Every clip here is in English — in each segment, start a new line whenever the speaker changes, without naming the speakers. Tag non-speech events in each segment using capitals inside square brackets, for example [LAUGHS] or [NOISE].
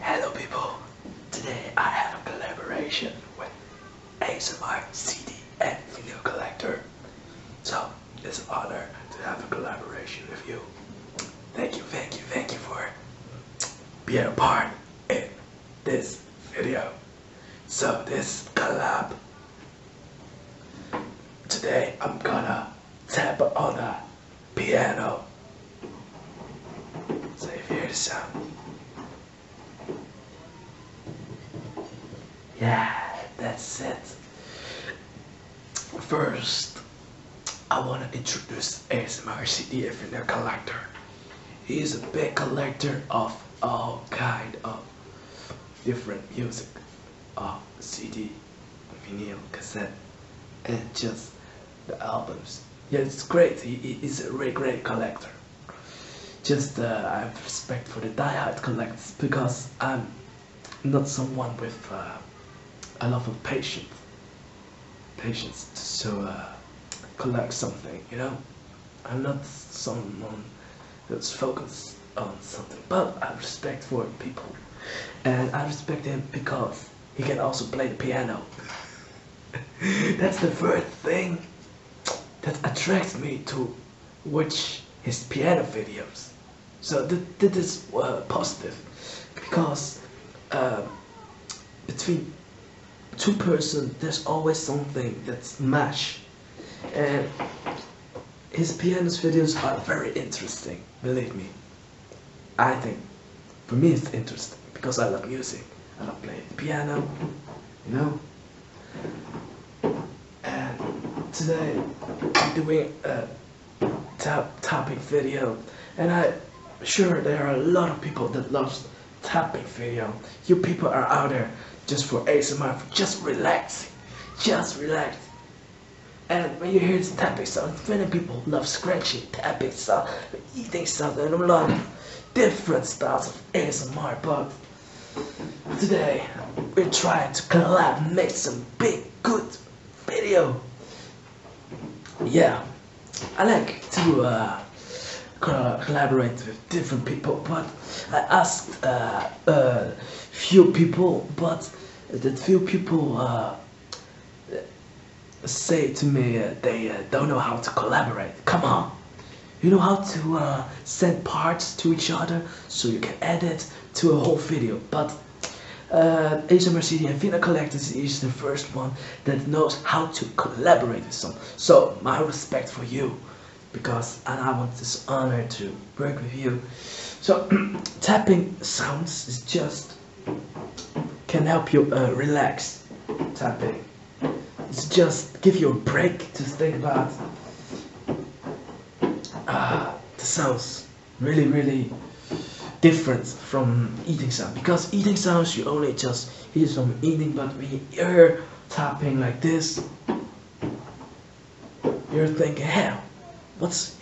Hello people, today I have a collaboration with ASMR CD and Video Collector. So, it's an honor to have a collaboration with you. Thank you, thank you, thank you for being a part in this video. So this collab, today I'm gonna tap on the piano. Save your sound, yeah, that's it. First, I want to introduce ASMR CD Infinite Collector. He is a big collector of all kind of different music, of uh, CD, vinyl, cassette, and just the albums. Yeah, it's great. he's a really great collector. Just uh, I have respect for the diehard collectors because I'm not someone with uh, a lot of patience. Patience to uh, collect something, you know. I'm not someone that's focused on something, but I respect for people, and I respect them because he can also play the piano. [LAUGHS] That's the first thing that attracts me to watch his piano videos. So th this is uh, positive because uh, between two persons there's always something that's match and his piano videos are very interesting believe me I think, for me it's interesting because I love music. I love playing piano, you know. And today I'm doing a tap tapping video, and I sure there are a lot of people that loves topic video. You people are out there just for ASMR, for just relaxing, just relax. And when you hear this tapping sound, many people love scratching, tapping sound, eating sound, and a lot different styles of ASMR, but today we're trying to collab, make some big, good video. Yeah, I like to uh, collaborate with different people, but I asked uh, few people, but that few people uh, say to me uh, they uh, don't know how to collaborate. Come on. You know how to uh, send parts to each other so you can edit to a whole video. But uh, ASMRCD and Vina Collectors is the first one that knows how to collaborate with someone. So my respect for you because and I want this honor to work with you. So [CLEARS THROAT] tapping sounds is just can help you uh, relax tapping. It's just give you a break to think about. Uh, the sounds really, really different from eating sound because eating sounds you only just hear from eating, but when you hear tapping like this, you're thinking, hell, what's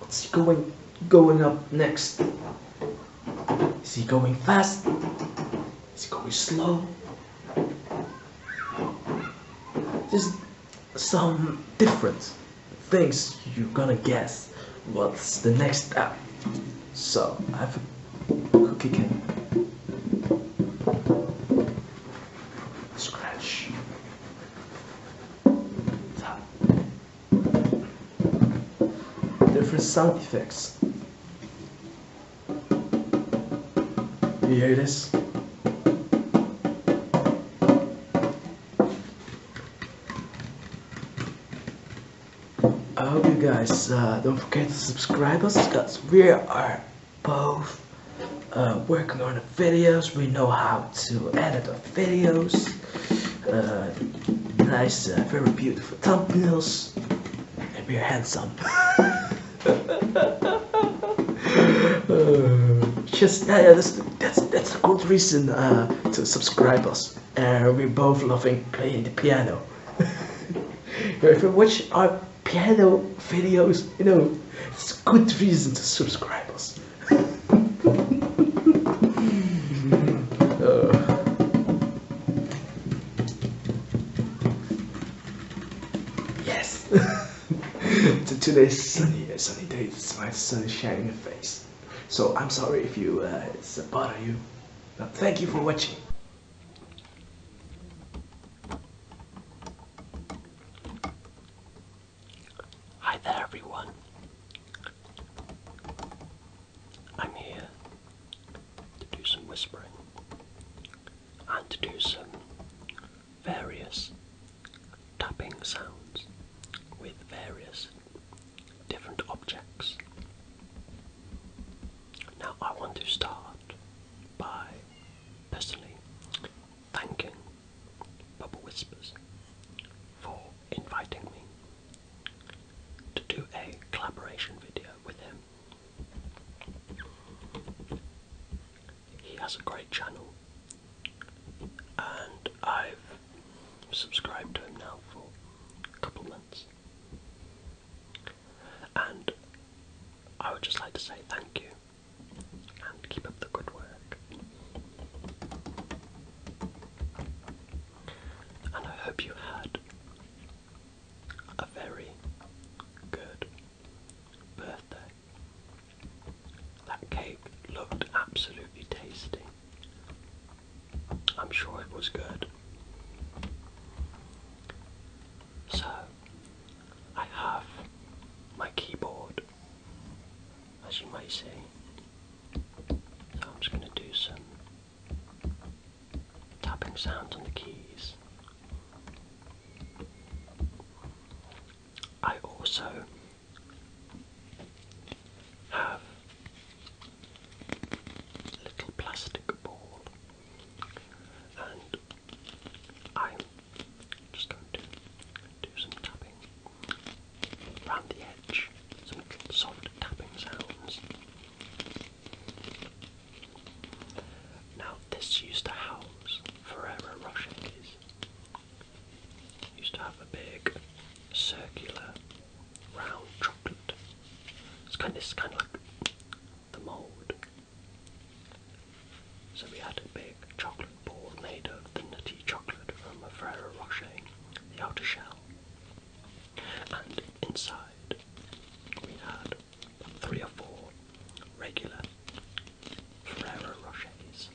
What's he going going up next? Is he going fast? Is he going slow? Just some different things you're gonna guess what's the next step. So I have a cookie can. Scratch. Tap different sound effects. You hear this? I hope you guys uh, don't forget to subscribe us because we are both uh, working on the videos. We know how to edit the videos. Uh, nice, uh, very beautiful thumbnails, and we're handsome. just [LAUGHS] uh, yeah, that's that's a good reason to subscribe us. we both loving playing the piano. [LAUGHS] if you watch our piano videos, you know, it's a good reason to subscribe us. Uh. yes! It's a Today's sunny, a uh, sunny day, my sun shining your face. So I'm sorry if you, uh, it's a uh, bother you. But thank you for watching.
Hi there everyone. I'm here to do some whispering and to do some various tapping sounds with various different objects. Now, I want to start by personally thanking Bubble Whispers for inviting me to do a collaboration video with him. He has a great channel, and I've subscribed to him now for a couple months. And I would just like to say thank you and keep up the good work and I hope you had a very good birthday. That cake looked absolutely tasty. I'm sure it was good. So, I have my keyboard, as you may see, so I'm just going to do some tapping sounds on the keys. I also have a little plastic ball and I'm just going to do some tapping around the edge, some soft tapping sounds. Now, this used to house Ferrero Rochers. Used to have a big circular round chocolate. It's kind it's kind of like the mould. So we had a big chocolate ball made of the nutty chocolate from a Ferrero Rocher, the outer shell. And inside we had three or four regular Ferrero Rochers.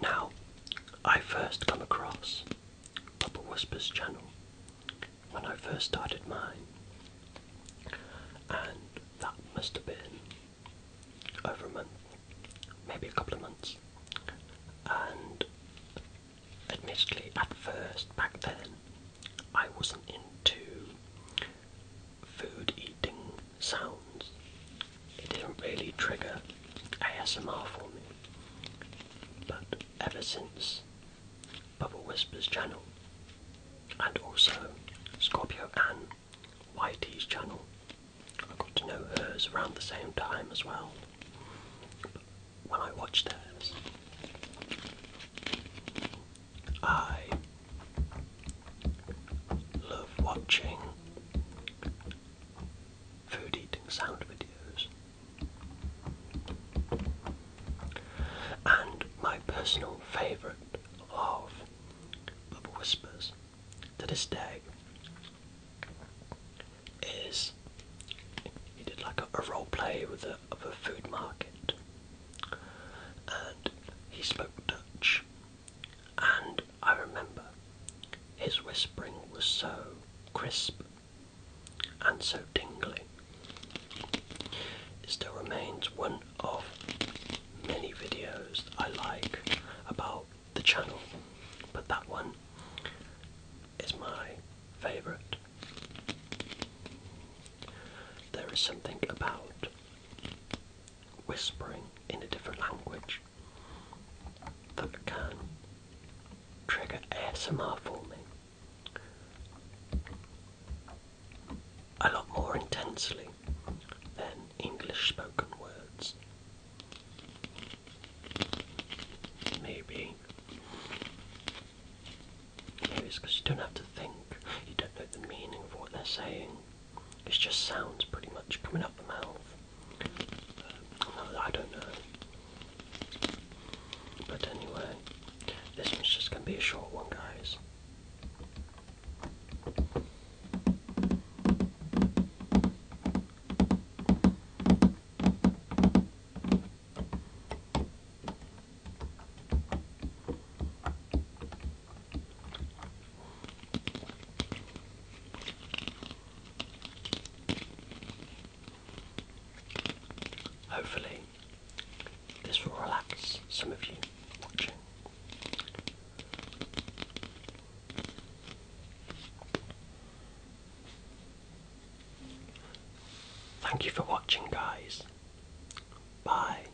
Now, I first come across Papa Whisper's channel when I first started mine, and that must have been over a month, maybe a couple of months. And admittedly, at first, back then, I wasn't into food eating sounds. It didn't really trigger ASMR for me. But ever since Bubble Whispers channel and also Scorpio Ann YT's channel, I got to know hers around the same time as well. But when I watched theirs, I love watching food eating sound videos. And my personal favourite of Bubble Whispers to this day is he did like a, role play with a, of a food market and he spoke Dutch and I remember his whispering was so crisp and so tingling. It still remains one of many videos that I like about the channel, but that one is my favourite. There is something about whispering in a different language that can trigger ASMR for me a lot more intensely than English spoken words. Maybe. Maybe it's because you don't have to think, you don't know the meaning of what they're saying. It's just sounds pretty much coming up the mouth. Uh, I don't know. But anyway, this one's just going to be a short one, guys. Hopefully, this will relax some of you watching. Thank you for watching, guys. Bye.